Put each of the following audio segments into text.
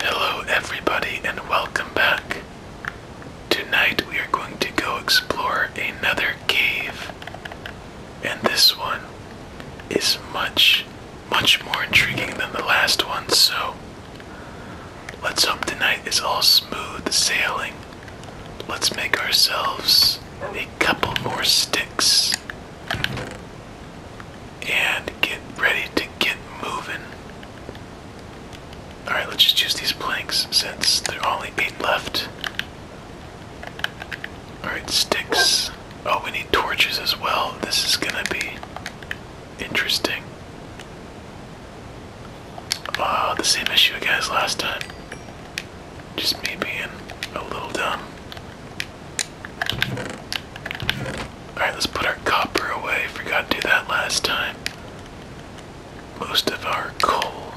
Hello, everybody, and welcome back. Tonight we are going to go explore another cave, and this one is much, much more intriguing than the last one, so let's hope tonight is all smooth sailing. Let's make ourselves a couple more sticks and get ready to get moving. Alright, let's just use these planks since there are only eight left. Alright, sticks. Oh, we need torches as well. This is gonna be interesting. Oh, the same issue again as last time. Just me being a little dumb. Alright, let's put our copper away. Forgot to do that last time. Most of our coal.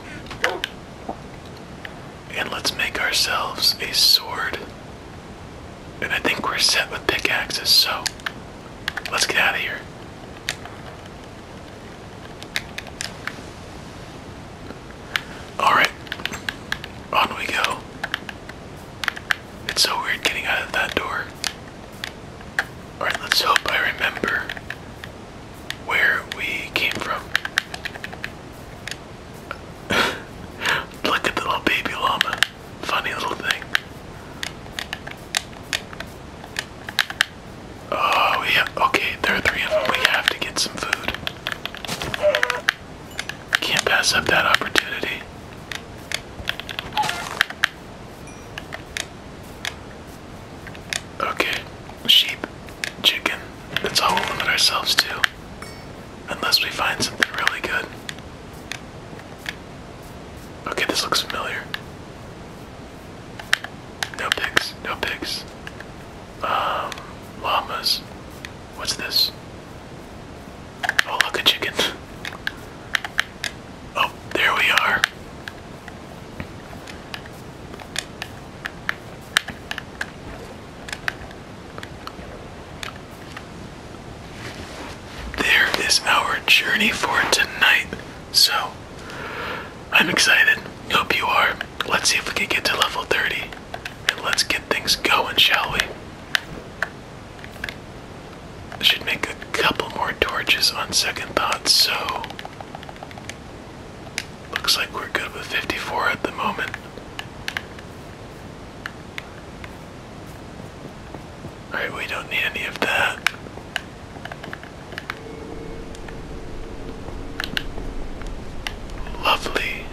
And let's make ourselves a sword. And I think we're set with pickaxes, so let's get out of here. Alright, on we go. It's so weird getting out of that door. Alright, let's hope I remember where we came from. Look at the little baby llama. Funny little thing. Oh, yeah. Okay, there are three of them. We have to get some food. Can't pass up that opportunity. Okay, sheep, chicken. That's all we'll limit ourselves to. Unless we find something really good. Okay, this looks familiar. No pigs, no pigs. Um, llamas. What's this? Oh, look, at chickens! Oh, there we are. There is our journey for tonight. So, I'm excited. Hope you are. Let's see if we can get to level 30 and let's get things going, shall we? I should make a couple more torches on second thought, so looks like we're good with 54 at the moment. Alright, we don't need any of that. Lovely.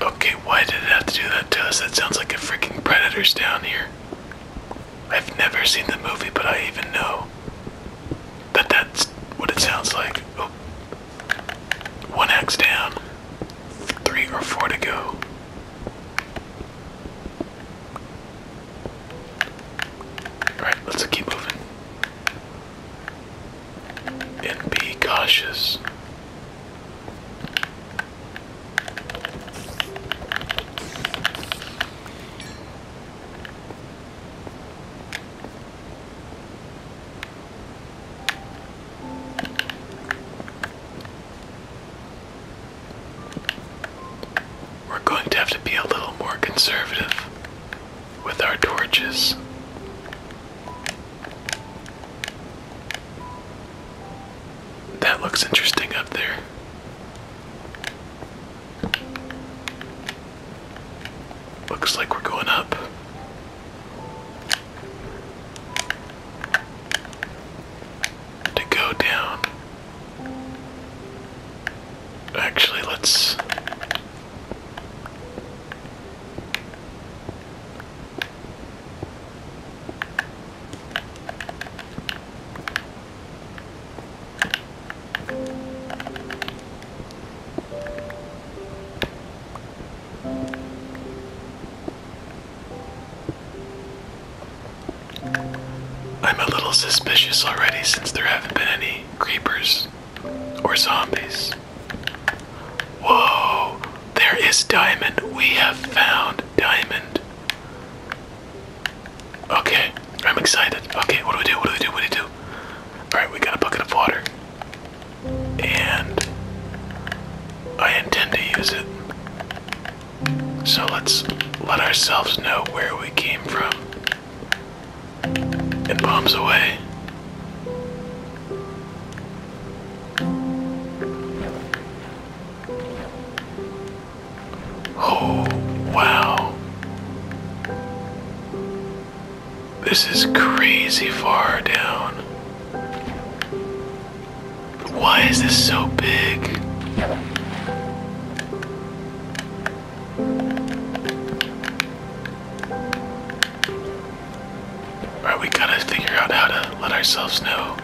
Okay, why did it have to do that to us? That sounds like a freaking predator's down here. I've never seen the movie, but I even know that that's what it sounds like. Oh. One axe down, three or four to go. Alright, let's keep moving and be cautious. We're going to have to be a little more conservative with our torches. That looks interesting up there. Looks like we're going up. To go down. Actually, let's I'm a little suspicious already since there haven't been any creepers or zombies. Whoa, there is diamond. We have found diamond. Okay, I'm excited. Okay, what do we do? What do we do? What do we do? Alright, we got a bucket of water. And I intend to use it. So let's let ourselves know where we came from. And bombs away. Oh, wow. This is crazy far down. Why is this so big? Alright, we gotta figure out how to let ourselves know.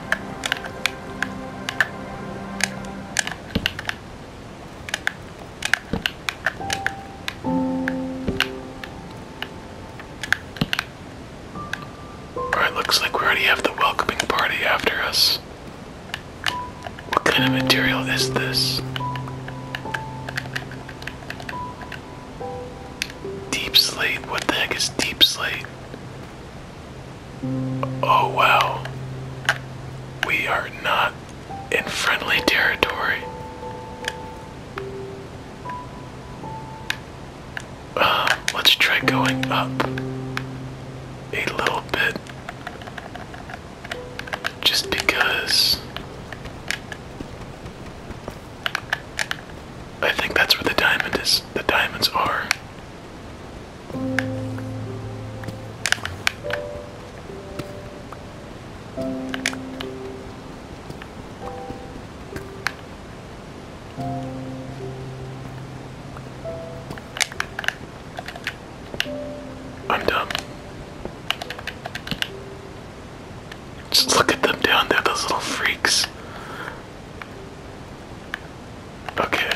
Alright, looks like we already have the welcoming party after us. What kind of material is this? Deep slate? What the heck is deep slate? Oh wow. We are not in friendly territory. Uh, let's try going up a little bit. Just because I think that's where the diamond is. The diamonds are. I'm dumb. Just look at them down there, those little freaks. Okay.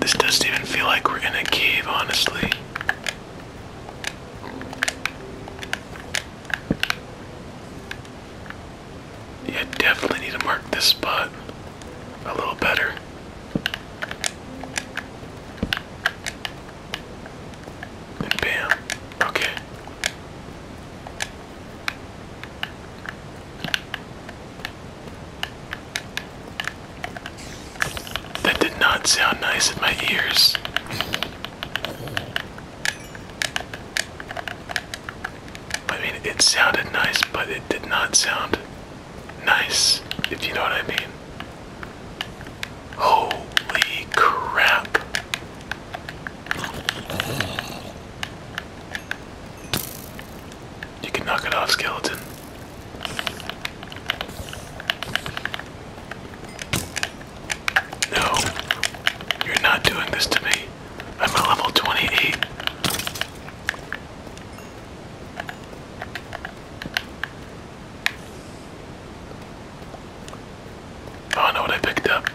This doesn't even feel like we're in a cave, honestly. Yeah, definitely need to mark this spot a little better. bam. Okay. That did not sound nice in my ears. I mean, it sounded nice, but it did not sound nice, if you know what I mean. Holy crap. You can knock it off, skeleton. No, you're not doing this to me. I'm a level 28. I know what I picked up.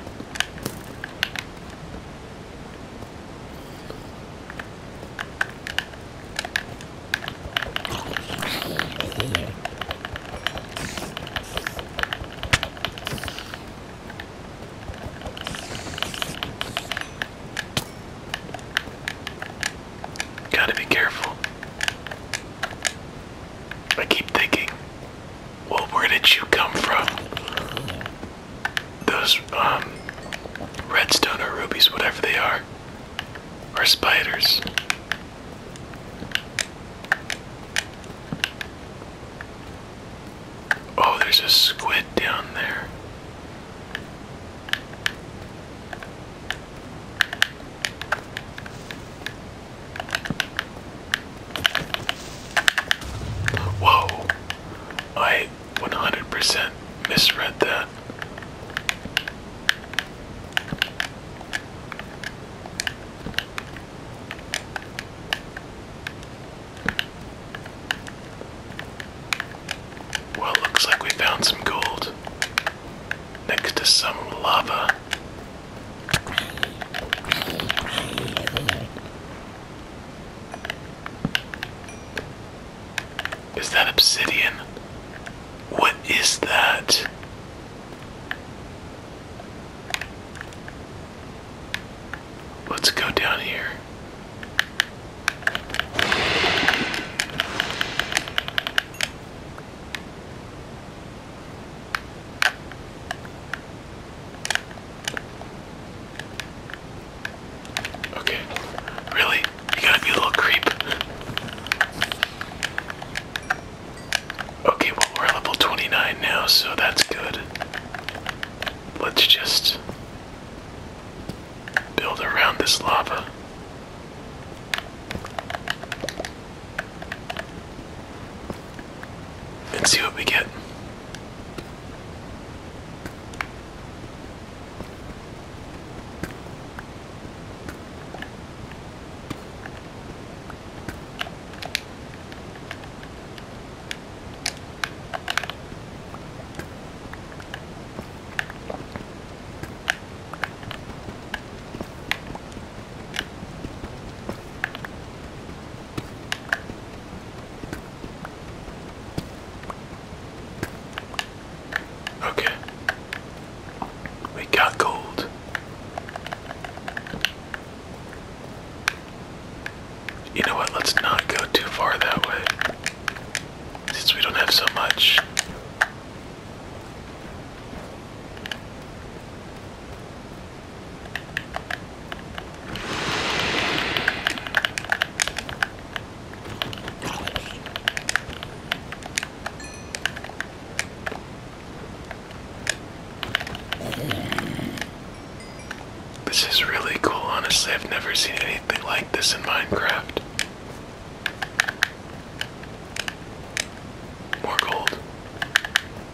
Gotta be careful. I keep thinking well, where did you come from? Those, um, redstone or rubies, whatever they are, or spiders. Oh, there's a squid down there. Whoa, I 100% misread that. Well, looks like we found some gold next to some lava. Is that obsidian? What is that? Let's go down here. Okay. Really? You gotta be a little creep. Okay, well, we're level 29 now, so that's good. Let's just build around this lava. Let's see what we get. Okay. We got gold. You know what? Let's not go too far that way. Since we don't have so much. This is really cool, honestly. I've never seen anything like this in Minecraft. More gold.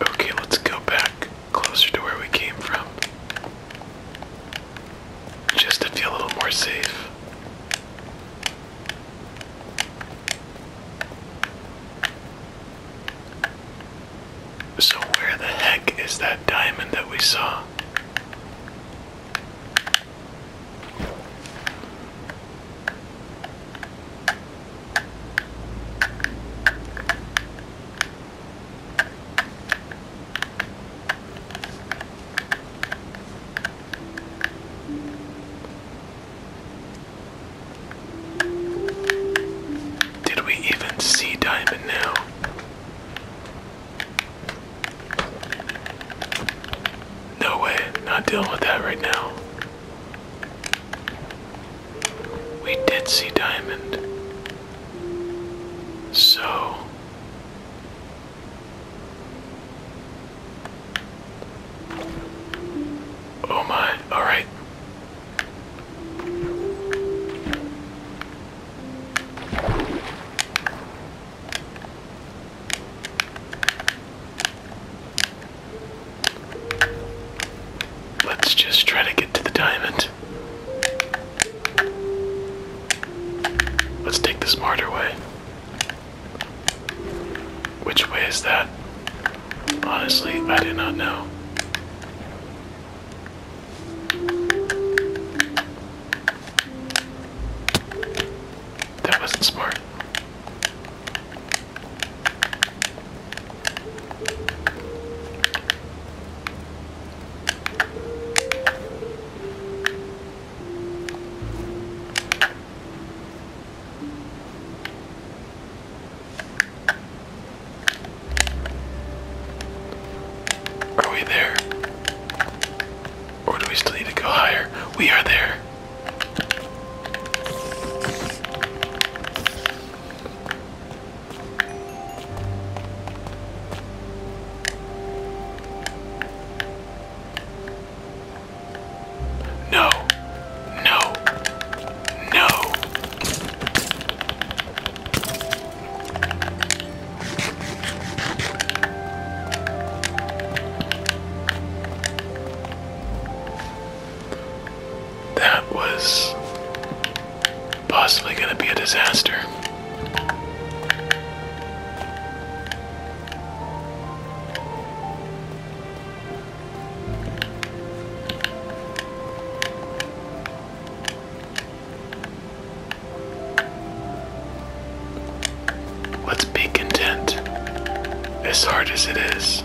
Okay, let's go back closer to where we came from. Just to feel a little more safe. So, where the heck is that diamond that we saw? Did we even see Diamond now? No way, not dealing with that right now. We did see Diamond. So. Oh my, alright. Let's just try to get to the diamond. Let's take the smarter way. Which way is that? Honestly, I do not know. That wasn't smart. Are we there? Or do we still need to go higher? We are there. No, no, no that was possibly going to be a disaster. Let's be content, as hard as it is.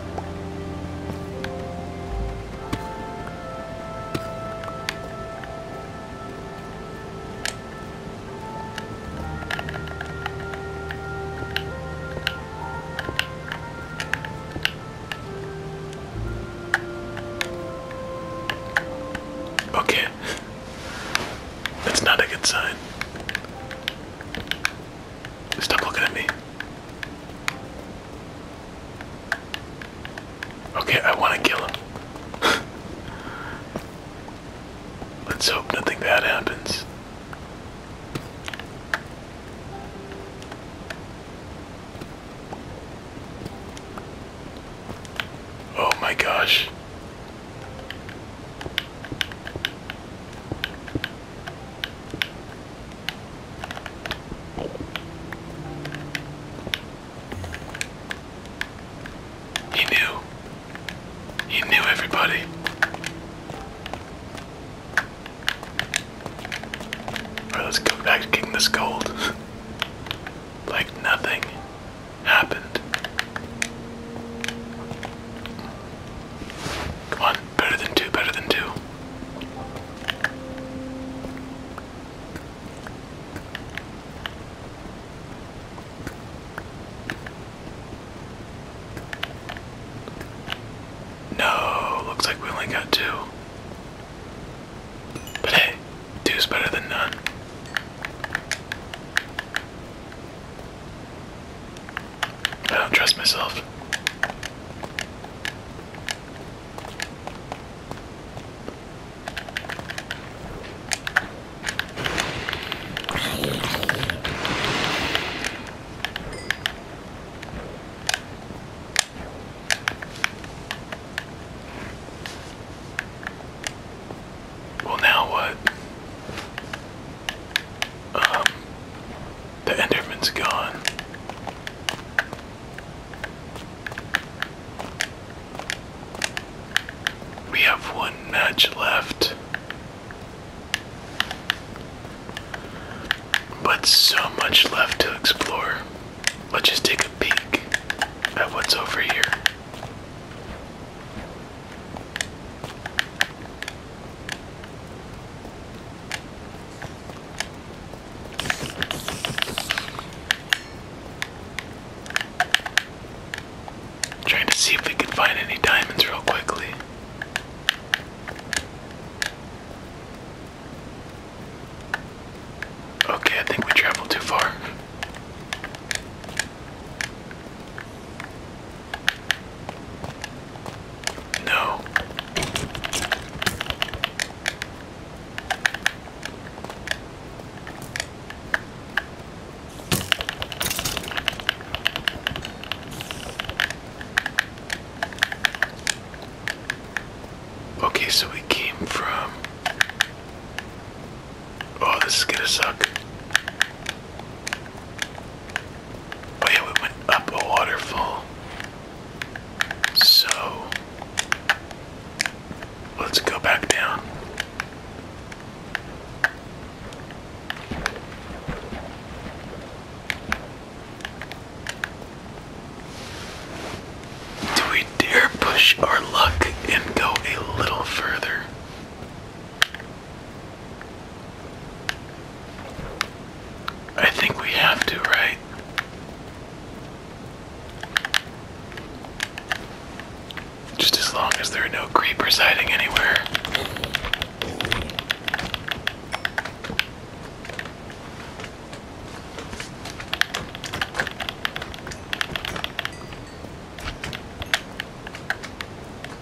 Okay. That's not a good sign. Stop looking at me. Okay, I want to kill him. Let's hope nothing bad happens. Oh my gosh. He knew. He knew everybody. Alright, let's go back to getting this gold. like nothing happened. Come on, better than two, better than two. No, looks like we only got two. But hey, two's better than none. I don't trust myself. Well, now what? Um, the Enderman's gone. We have one match left. But so much left to explore. Let's just take a peek at what's over here. Trying to see if we can find any diamonds real quickly. Okay, I think we traveled too far. No. Okay, so we came from. Oh, this is gonna suck. But yeah, we went up a waterfall. So let's go back down. Do we dare push our luck and go a little further? I think we have to, right? Just as long as there are no creepers hiding anywhere.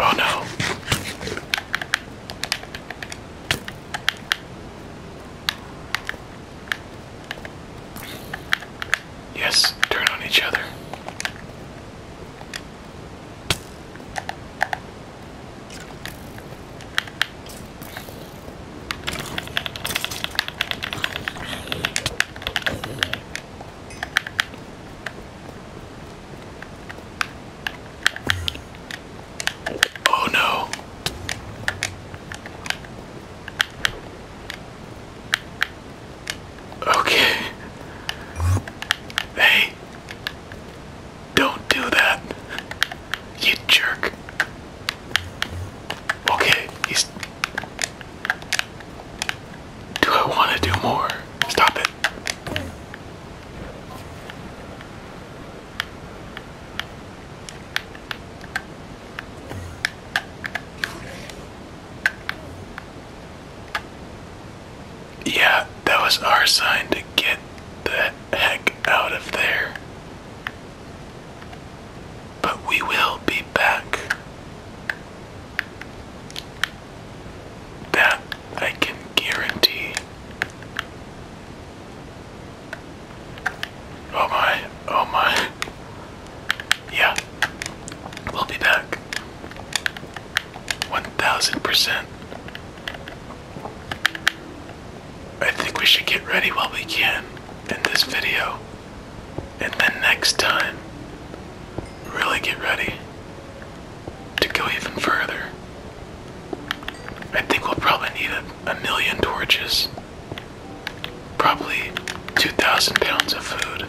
Oh no. Yes, turn on each other. Oh no. Okay. Hey. Don't do that. You jerk. Okay, do I want to do more? Stop it. Yeah, that was our sign to get the heck out of there. But we will be back. That I can guarantee. Oh my, oh my. Yeah, we'll be back. 1000%. I think we should get ready while we can in this video. And then next time, really get ready to go even further. I think we'll probably need a, a million torches, probably 2,000 pounds of food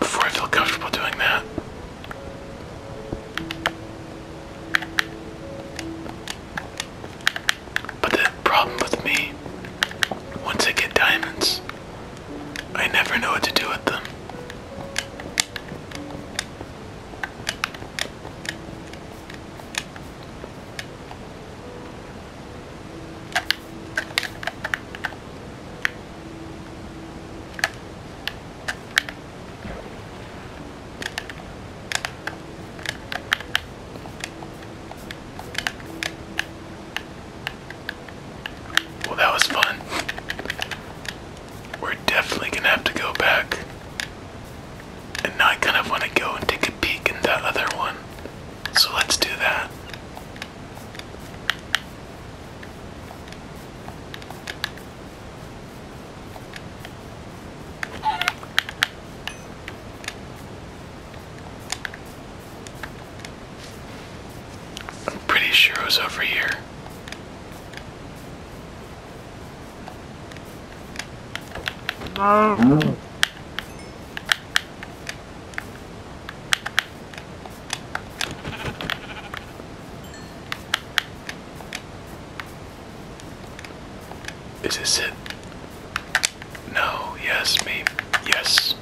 before I feel comfortable doing that. But the problem with me, once I get diamonds, I never know what to do with them. Well, that was fun. We're definitely gonna have to go back. And now kind of want to go and take a peek in that other one. So let's do that. I'm pretty sure it was over here. No. Is it? No, yes, maybe, yes.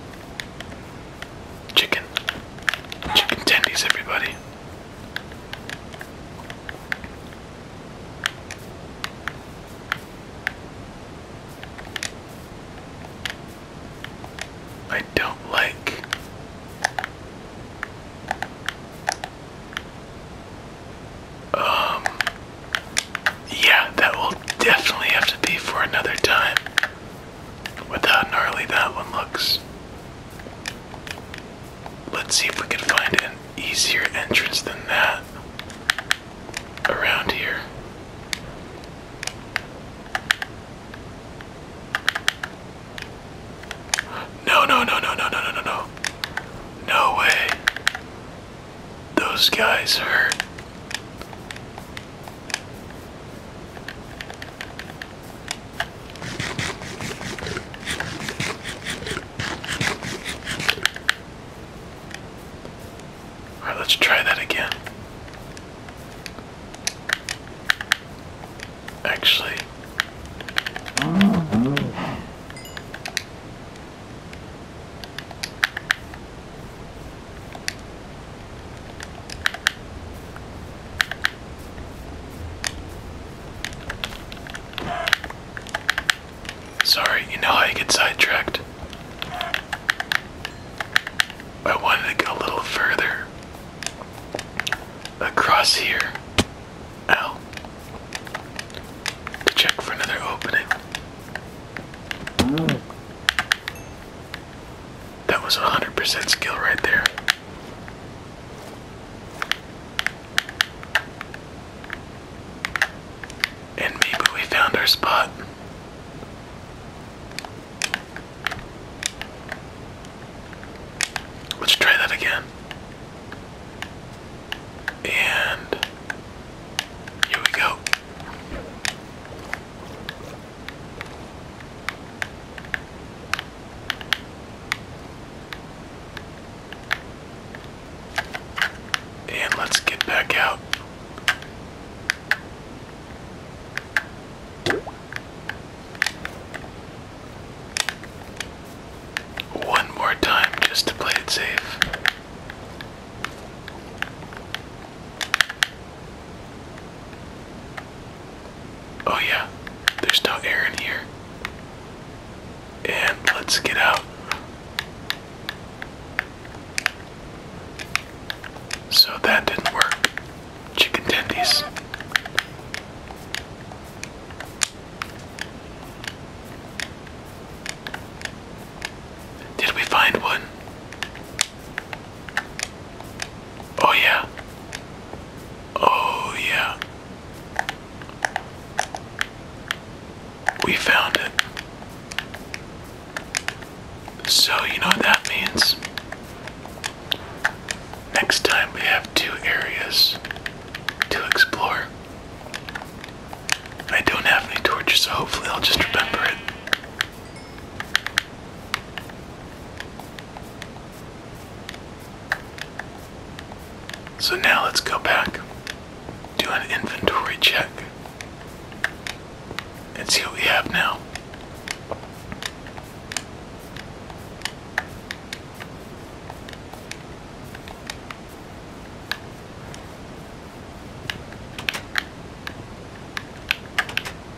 Chicken. Chicken tendies, everybody. I don't like um yeah, that will definitely have to be for another time with how gnarly that one looks. Let's see if we can find an easier entrance than that around here. No, no, no, no, no, no, no, no, no. No way. Those guys hurt. All right, let's try that again. Actually, Sorry, you know how you get sidetracked. I wanted to go a little further across here. Ow. check for another opening. Mm. That was 100% skill right there. And maybe we found our spot. Let's try that again. And here we go. And let's get back out. One more time just to play it safe. Oh, yeah, there's no air in here. And let's get out. So that didn't work. Chicken tendies. Did we find one? Oh, yeah. Oh, yeah. We found it. So, you know what that means? Next time we have two areas to explore. I don't have any torches, so hopefully I'll just remember it. So now let's go back, do an inventory check, and see what we have now.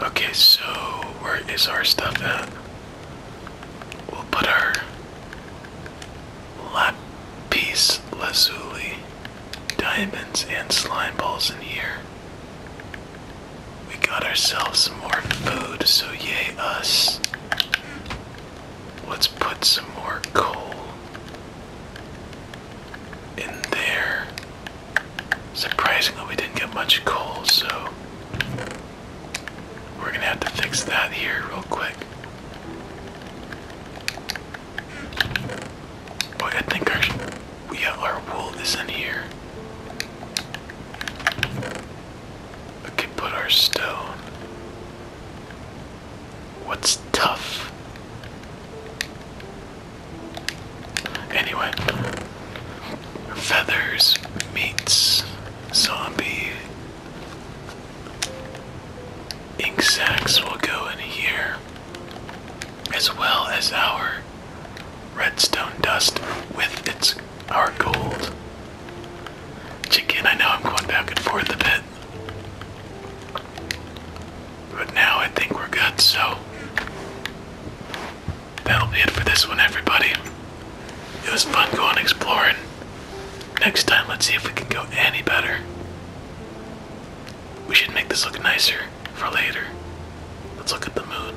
Okay, so where is our stuff at? We'll put our lapis lazuli diamonds and slime balls in here. We got ourselves some more food, so yay us. Let's put some more coal in there. Surprisingly, we didn't get much coal, so we're gonna have to fix that here real quick. But I think we have our wool is in here. I put our stone. What's tough? Anyway, feathers meets zombie. Ink sacks will go in here as well as our redstone dust with its our gold. Chicken, I know I'm going back and forth a bit. But now I think we're good, so that'll be it for this one, everybody. It was fun going exploring. Next time, let's see if we can go any better. We should make this look nicer. For later. Let's look at the moon.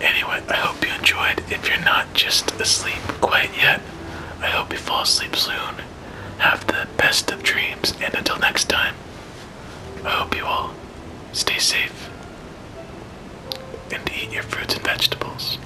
Anyway, I hope you enjoyed. If you're not just asleep quite yet, I hope you fall asleep soon. Have the best of dreams, and until next time, I hope you all stay safe and eat your fruits and vegetables.